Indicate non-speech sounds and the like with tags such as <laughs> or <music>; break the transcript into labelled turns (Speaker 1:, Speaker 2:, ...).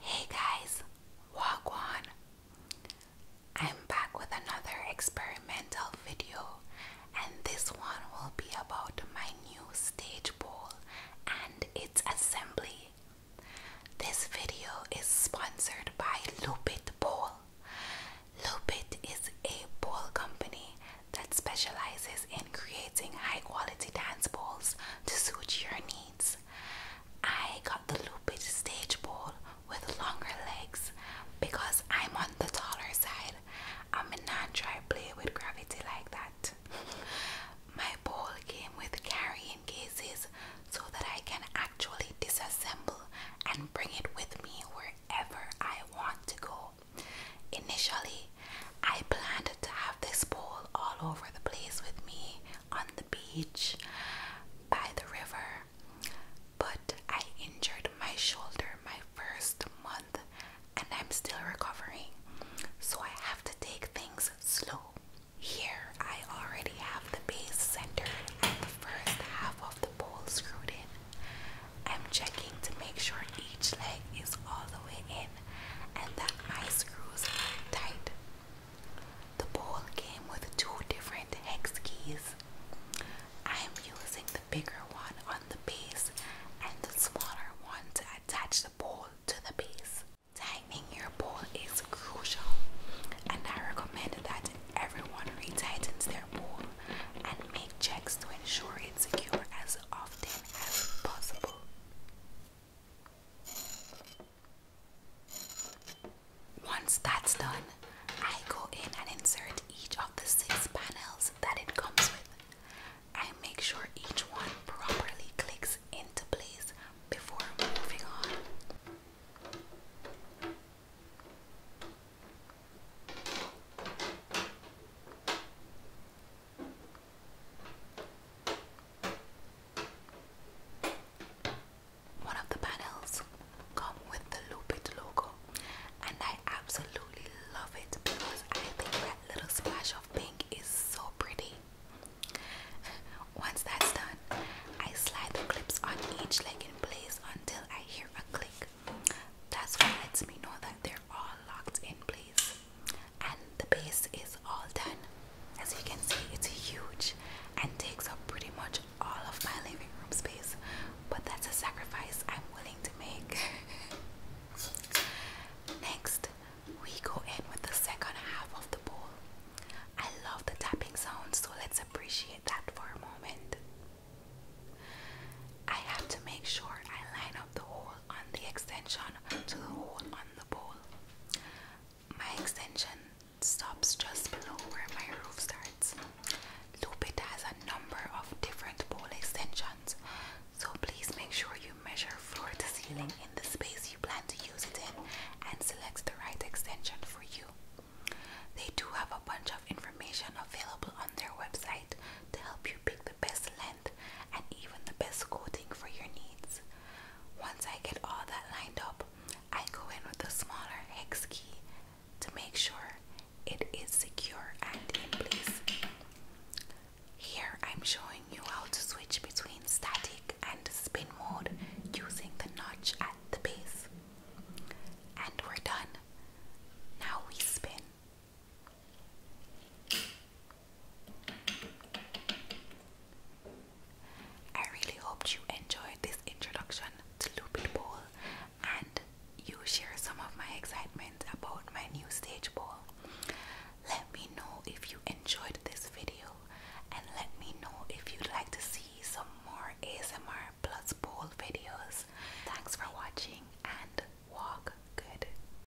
Speaker 1: Hey guys, Wagwan! I'm back with another experimental video, and this one will be about my new stage bowl and its assembly. This video is sponsored by Lupit Bowl. Lupit is a bowl company that specializes in creating high quality dance bowls to suit your needs. I got the looped stage ball with longer legs because I'm on the taller side. I'm not trying to play with gravity like that. <laughs> My ball came with carrying cases so that I can actually disassemble and bring it with me wherever I want to go. Initially, I planned to have this pole all over the place with me on the beach by the river, but I injured my shoulder my first month and I'm still recovering, so I have to take things slow. Here, I already have the base center and the first half of the pole screwed in. I'm checking to make sure each leg is all the way in and the eye screws tight. The bowl came with two different hex keys. I am using the bigger one on the base and the smaller one to attach the bowl to the base. Tightening your bowl is crucial, and I recommend that everyone retightens their bowl and make checks to ensure it's secure as often as possible. Once that's done, I go in and insert each of the six panels that it comes with. I make sure each one properly clicks into place before moving on. One of the panels come with the Lupit logo and I absolutely love it because I think that little splash of pink is so pretty. Once that's done, I slide the clips on each leg in place until I hear a click. That's what lets me know that they're all locked in place and the base is all done as you can see it's huge and takes up pretty much all of my living room space but that's a sacrifice I'm willing to make <laughs> next we go in with the second half of the ball. I love the tapping zone, so let's appreciate that for a moment I have to make sure I line up the whole on the extension to the hole on the bowl. My extension stops just below where my roof starts. Lupit has a number of different bowl extensions, so please make sure you measure floor to ceiling in the space you plan to use it in and select the right extension for you. They do have a bunch of information available on their website to help you pick the best length and even the best coating for your needs. Once I get all that lined up, I go in with a smaller hex key to make sure it is secure and in place. Here I'm showing you how to switch between static and spin mode using the notch at the base. And we're done. Now we spin. I really hoped you enjoyed this introduction to Lupit Bowl and you share some of my excitement about my new stage bowl. Let me know if you enjoyed this video and let me know if you'd like to see some more ASMR plus bowl videos. Thanks for watching and walk good.